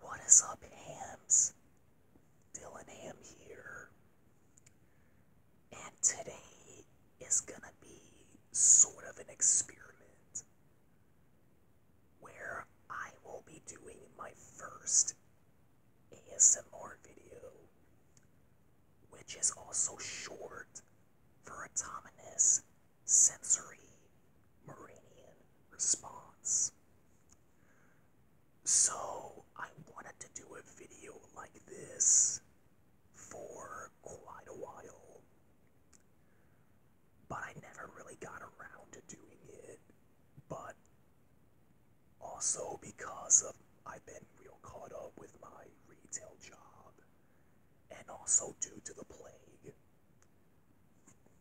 What is up, hams? Dylan Ham here. And today is gonna be sort of an experiment where I will be doing my first ASMR video, which is also short for autonomous sensory Meridian response. So, I wanted to do a video like this for quite a while, but I never really got around to doing it. But also because of I've been real caught up with my retail job, and also due to the plague.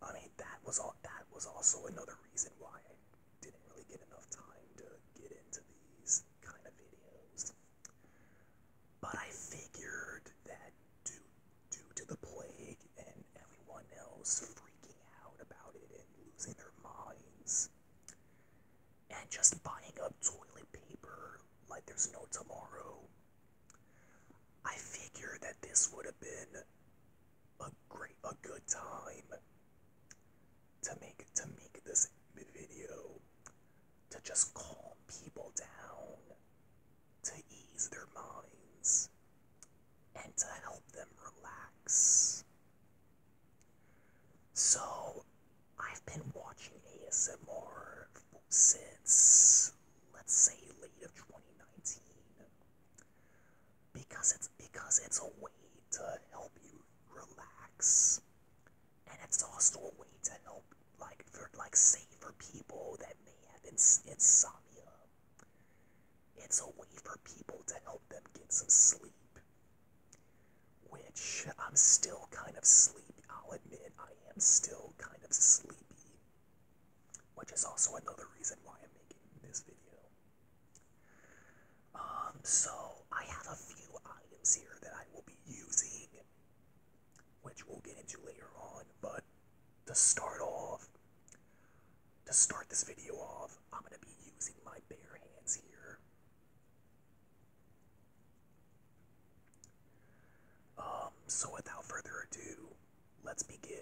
I mean, that was all. That was also another reason why I didn't really get enough time to get into these kind of videos. But I figured that due due to the plague and everyone else freaking out about it and losing their minds, and just buying up toilet paper like there's no tomorrow, I figure that this would have been a great, a good time to make to make this video to just calm people down, to ease their minds, and to help them relax. So, I've been watching ASMR since let's say late of 2019 because it's because it's a way to help you relax and it's also a way to help like for like say for people that may have ins insomnia it's a way for people to help them get some sleep which i'm still kind of sleepy i'll admit i am still kind of sleepy which is also another reason why I'm making this video. Um, so I have a few items here that I will be using, which we'll get into later on, but to start off, to start this video off, I'm going to be using my bare hands here. Um, so without further ado, let's begin.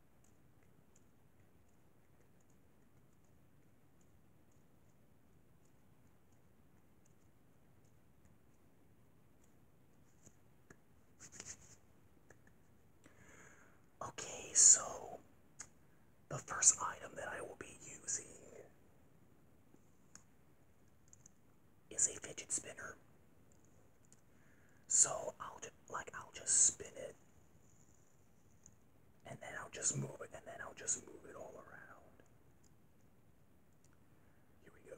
Okay, so the first item that I will be using is a fidget spinner. So I'll just like I'll just spin it and then I'll just move it and then I'll just move it all around. Here we go.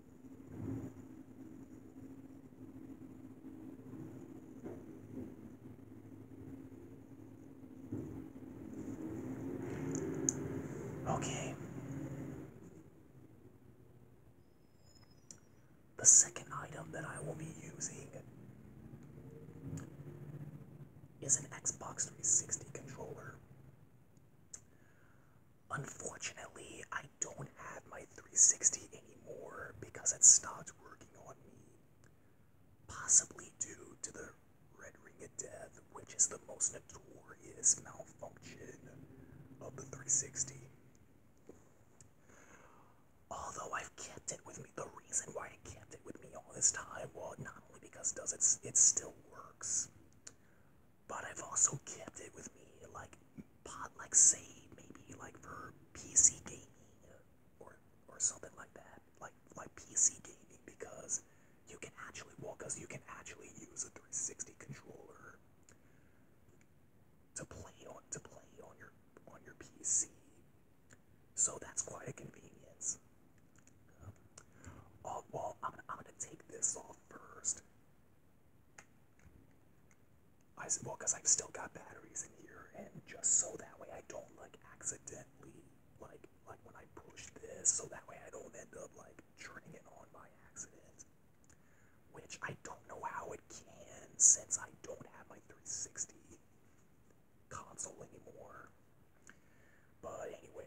Okay. The second item that I will be using is an Xbox 360 controller. Unfortunately, I don't have my 360 anymore because it stopped working on me. Possibly due to the Red Ring of Death, which is the most notorious malfunction of the 360. Although I've kept it with me, the reason why I kept it with me all this time, well, not only because does it, it still works, but I've also kept it with me, like pot, like say maybe like for PC gaming or or something like that, like like PC gaming because you can actually well, because you can actually use a 360 controller to play on to play on your on your PC, so that's quite a convenience. oh, well, I'm, I'm gonna take this off first I said, well, because I've still got batteries in here, and just so that way I don't like accidentally like like when I push this, so that way I don't end up like turning it on by accident. Which I don't know how it can since I don't have my 360 console anymore. But anyway,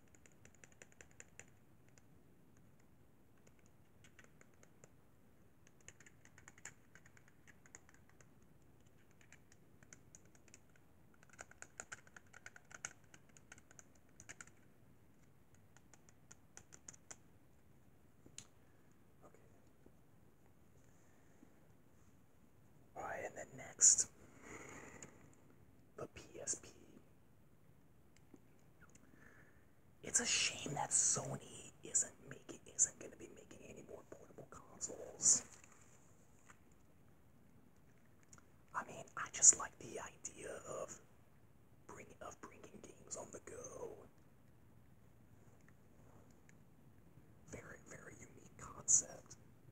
All right, and then next, the PSP. It's a shame that Sony isn't making isn't going to be making any more portable consoles. I mean, I just like the idea of bring of bringing games on the go. Very very unique concept.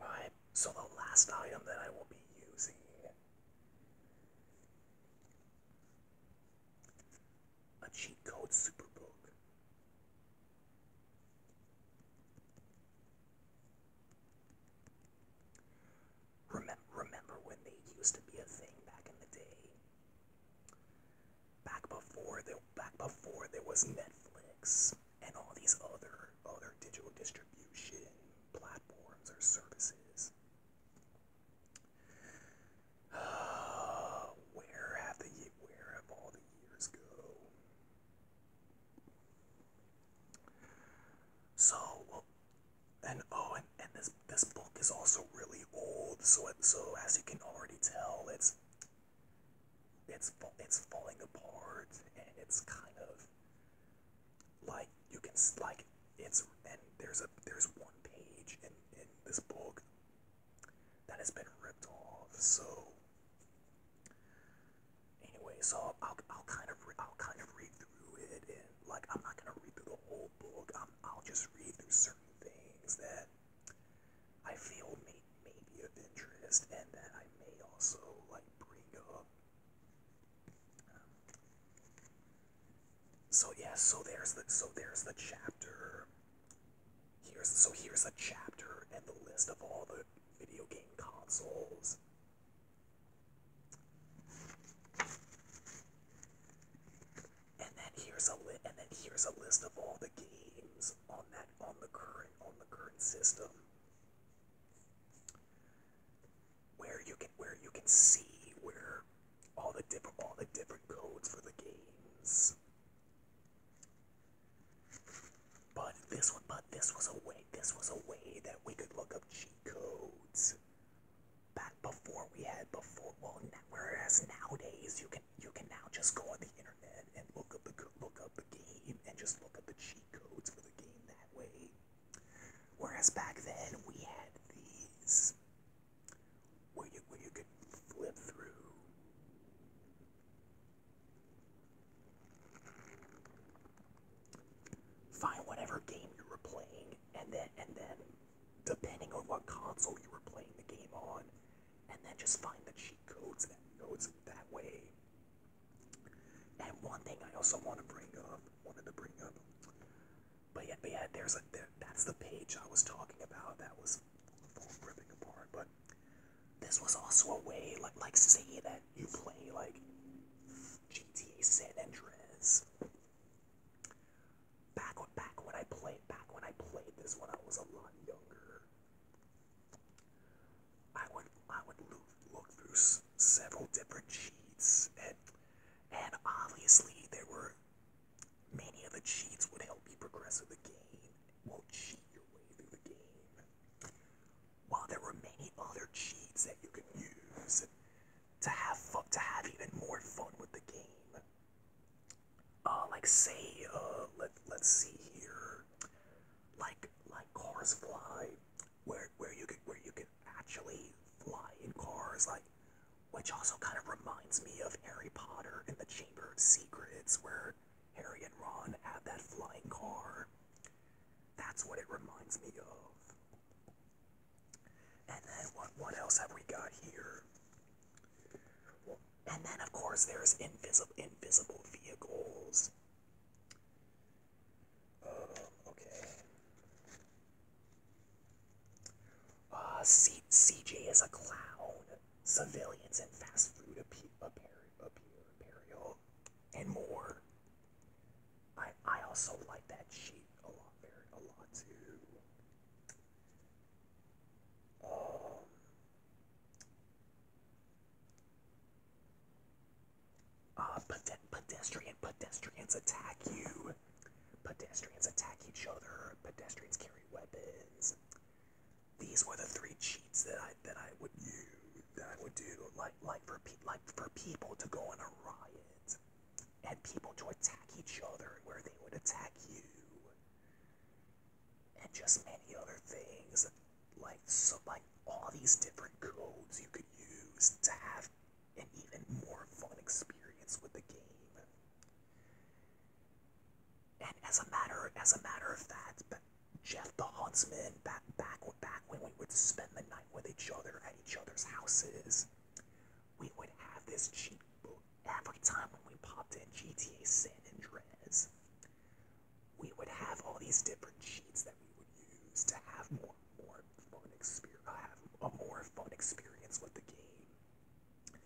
Alright, so the last item that I will be using a cheat code super book. Remember, remember when they used to be a thing back in the day? Back before there, back before there was Netflix and all these other other digital distribution platforms or services. where have the where have all the years go? So and oh, and, and this this book is also really old. So it, so as you can already tell, it's it's it's falling apart, and it's kind of like you can like it's and there's a there's one page in in this book that has been ripped off. So anyway, so I'll I'll kind of I'll kind of read through it, and like I'm not gonna read through the whole book. I'll just read through certain things that I feel may, may be of interest and that I may also like bring up. so yes. so there's the so there's the chapter. Here's so here's a chapter and the list of all the video game consoles and then here's a li and then here's a list of all the games on that on the current on the current system where you can where you can see where all the different all the different codes for the games. But this one but this was a way this was a way that we could look up cheat codes back before we had before well whereas nowadays you can you can now just go on the internet and look up the look up the game and just look up the cheat codes for the game that way whereas back then we had these where you where you could flip through find whatever game you were playing, and then and then depending on what console you were playing the game on, and then just find that she codes that goes that way. And one thing I also want to bring up, wanted to bring up, but yet, but yet, there's a that's the page I was talking about that was ripping apart. But this was also a way, like like say that you play like GTA San Andreas Back back when I played back when I played this when I was a lot younger, I would I would look, look through several different cheats and and obviously there were many of the cheats would help you progress in the game. Won't cheat your way through the game. While there were many other cheats that you could use, to have fun, to have even more fun with the game. Uh, like say, uh, let let's see here, like like cars fly, where where you could where you could actually fly in cars, like which also kind of reminds me of Harry Potter and the Chamber of Secrets, where Harry and Ron have that flying car. That's what it reminds me of. And then what, what else have we got here? And then, of course, there's invisible invisible vehicles. Uh, okay. Uh, C is a clown. Civilians and fast food appear, appear, appear, imperial, and more. I I also like that sheet a lot, very a lot too. Um, uh, pedestrian pedestrians attack you. Pedestrians attack each other. Pedestrians carry weapons. These were the three cheats that I that I would use that I would do like like for pe like for people to go on a riot and people to attack each other where they would attack you, and just many other things. Like so, like all these different codes you could use to have an even more fun experience with the game. And as a matter, as a matter of fact, Jeff the Huntsman back back back when we would spend the night with each other at each other's houses we would have this cheat boot every time when we popped in GTA San Andreas. We would have all these different cheats that we would use to have more more fun experience, have a more fun experience with the game.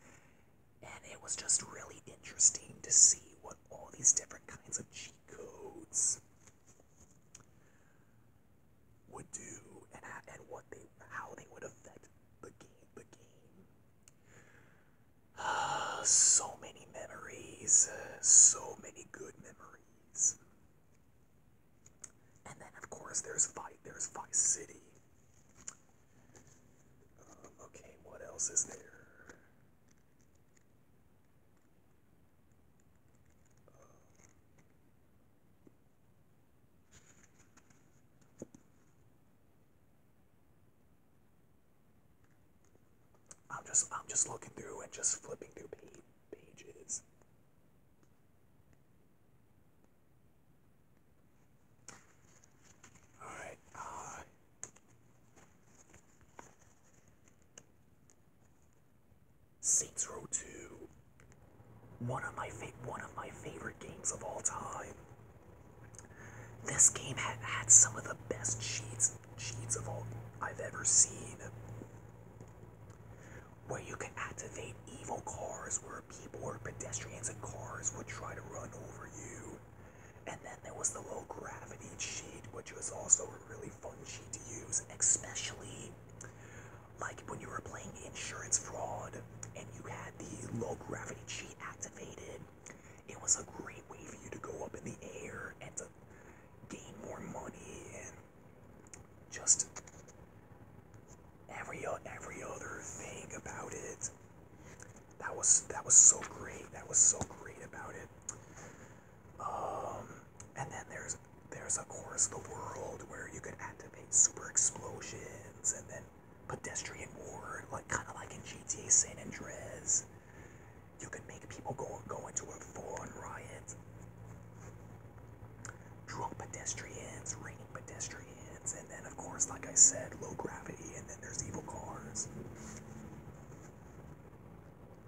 And it was just really interesting to see what all these different kinds of cheat codes would do and and what they how they would affect the game the game. so many memories, so many good memories. And then of course there's fight there's Vice City. Um, okay, what else is there? I'm just I'm just looking through and just flipping through pages. All right. Uh, Saints Row 2. One of my one of my favorite games of all time. This game had had some of the best cheats cheats of all I've ever seen. Where you can activate evil cars where people or pedestrians and cars would try to run over you. And then there was the low gravity cheat, which was also a really fun cheat to use, especially like when you were playing insurance fraud and you had the low gravity cheat activated, it was a great way for you to go up in the air and to gain more money and just every every other thing about it. That was that was so great. That was so great about it. Um, and then there's there's of course the world where you can activate super explosions and then pedestrian war, like kind of like in GTA San Andreas. You can make people go go into a full-on riot. Drunk pedestrians, raining pedestrians, and then of course, like I said, low gravity, and then there's evil cars.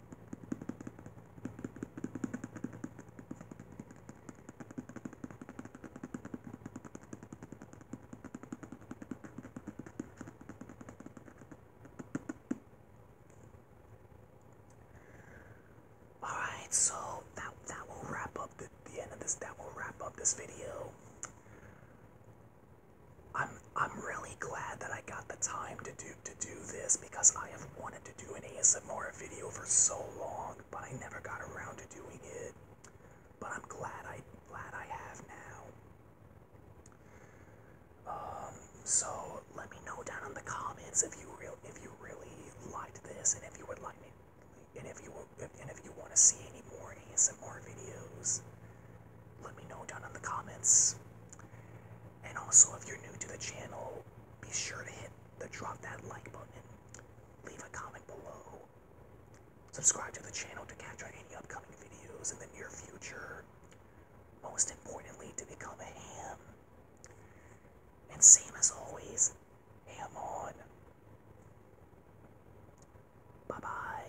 All right, so that that will wrap up the, the end of this. That will wrap up this video. I'm I'm really glad that I got the time to do to do this because I have wanted to do an ASMR video for so long, but I never got around to doing it. But I'm glad I glad I have now. Um, so let me know down in the comments if you real if you really liked this and if you would like me and if you and if you want to see any more ASMR videos, let me know down in the comments. And also, if you're new to the channel, be sure to hit the drop that like button, leave a comment below, subscribe to the channel to catch any upcoming videos in the near future. Most importantly, to become a ham. And same as always, ham on. Bye bye.